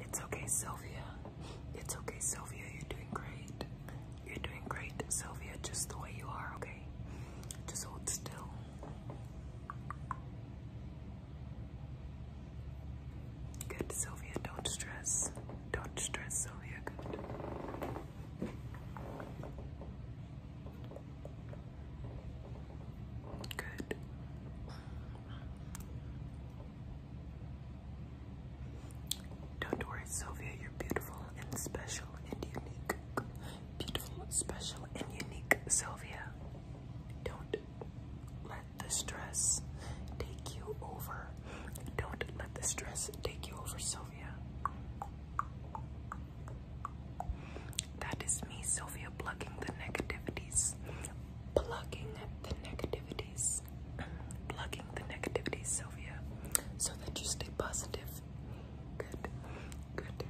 It's okay, Sylvia. It's okay, Sylvia. You're doing great. You're doing great, Sylvia, just the way you are, okay? Just hold still. Good, Sylvia. Don't stress. Don't stress, Sylvia. Good. Good. Don't worry, Sylvia, you're beautiful and special and unique. Beautiful, special, and unique, Sylvia. Don't let the stress take you over. Don't let the stress take you over, Sylvia. That is me, Sylvia, plugging the negativities. Plugging the negativities. plugging the negativities, Sylvia, so that you stay positive. Good, good.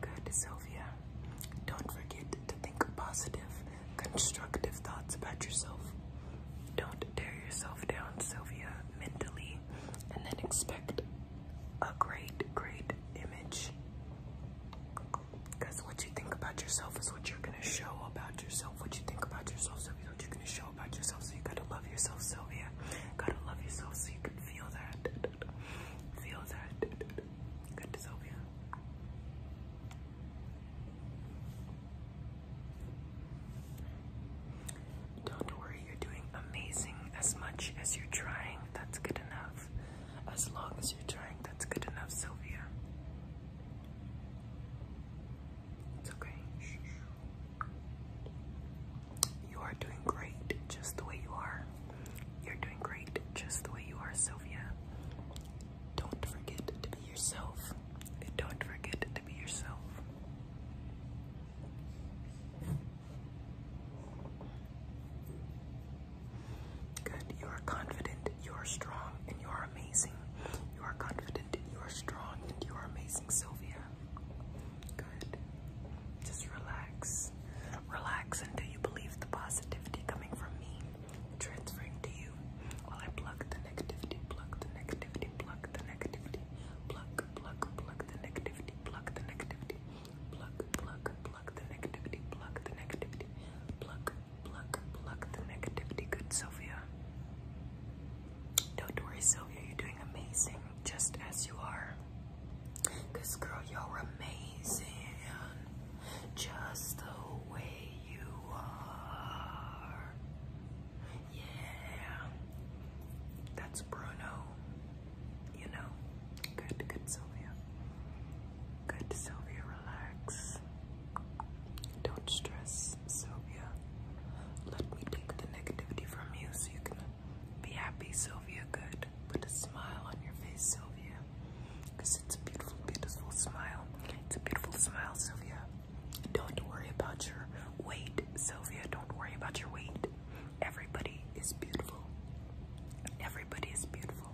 Good, Sylvia. Don't forget to think positive constructive thoughts about yourself. Don't tear yourself down, Sylvia, mentally, and then expect a great, great image. Because what you think about yourself is what you're going to show about yourself. What you think about yourself, Sylvia, what you're going to show about yourself. So you got to love yourself, Sylvia. Got to love yourself so you can feel that. Feel that. Good, Sylvia. Don't worry, you're doing amazing as much as you're trying. That's good enough. As long as you're trying, that's good enough, Sylvia. It's okay. You are doing great just the way you are. You're doing great just the way you are, Sylvia. Don't forget to be yourself. Don't forget to be yourself. Good. You are confident, you are strong, and you are amazing. You are confident, you are strong, and you are amazing, Sylvia. Good. Just relax. Relax until you believe the positivity coming from me transferring to you while I pluck the negativity, pluck the negativity, pluck the negativity, pluck, pluck, pluck the negativity, pluck the negativity, pluck, pluck, pluck the negativity, pluck the negativity, pluck, pluck, pluck the negativity. Good, Sylvia. Don't worry, Sylvia, you're doing amazing just as you are. Cause girl, you're amazing. Just the way you are. Yeah. That's Bruno. You know. Good, good Sylvia. Good Sylvia, relax. Don't stress, Sylvia. Let me take the negativity from you so you can be happy, Sylvia. Good. Put a smile on your face, Sylvia. Because it's a beautiful, beautiful smile. It's a beautiful smile, Sylvia. Don't worry about your weight, Sylvia. Don't worry about your weight. Everybody is beautiful. Everybody is beautiful.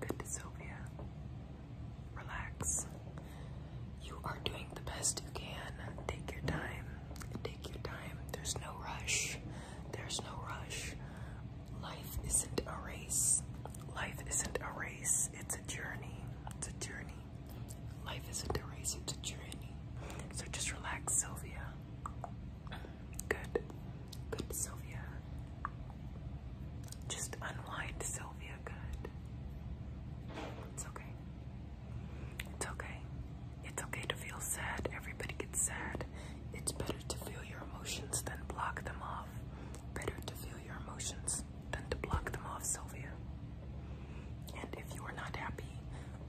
Good, Sylvia relax. You are doing the best you can. Take your time. Take your time. There's no rush. There's no rush. Life isn't a race. Life isn't a race. It's a journey. It's a journey. Life isn't a race. It's a journey. So just relax, Sylvia. Good. Good, Sylvia. Just unwind, Sylvia. It's okay. It's okay. It's okay to feel sad. Everybody gets sad. It's better to feel your emotions than block them off. Better to feel your emotions than to block them off, Sylvia. And if you are not happy,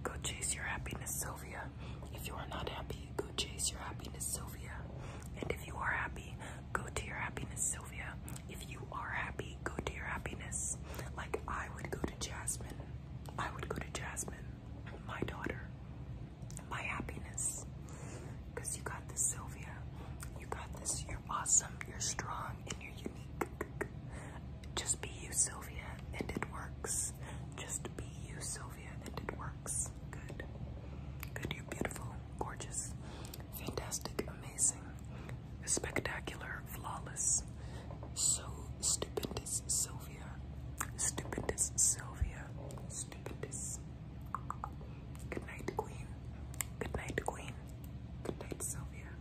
go chase your happiness, Sylvia. If you are not happy, go chase your happiness, Sylvia. And if you are happy, go to your happiness, Sylvia. If you are happy, go to your happiness. Like I would go to Jasmine. I would go to Jasmine, my daughter, my happiness. Because you got this, Sylvia. You got this. You're awesome. You're strong and you're unique. Just be you, Sylvia, and it works. Just be you, Sylvia. Sylvia it works. Good. Good, you're beautiful, gorgeous, fantastic, amazing, spectacular, flawless, so stupendous, Sylvia. Stupendous, Sylvia. Stupendous. Good night, Queen. Good night, Queen. Good night, Sylvia.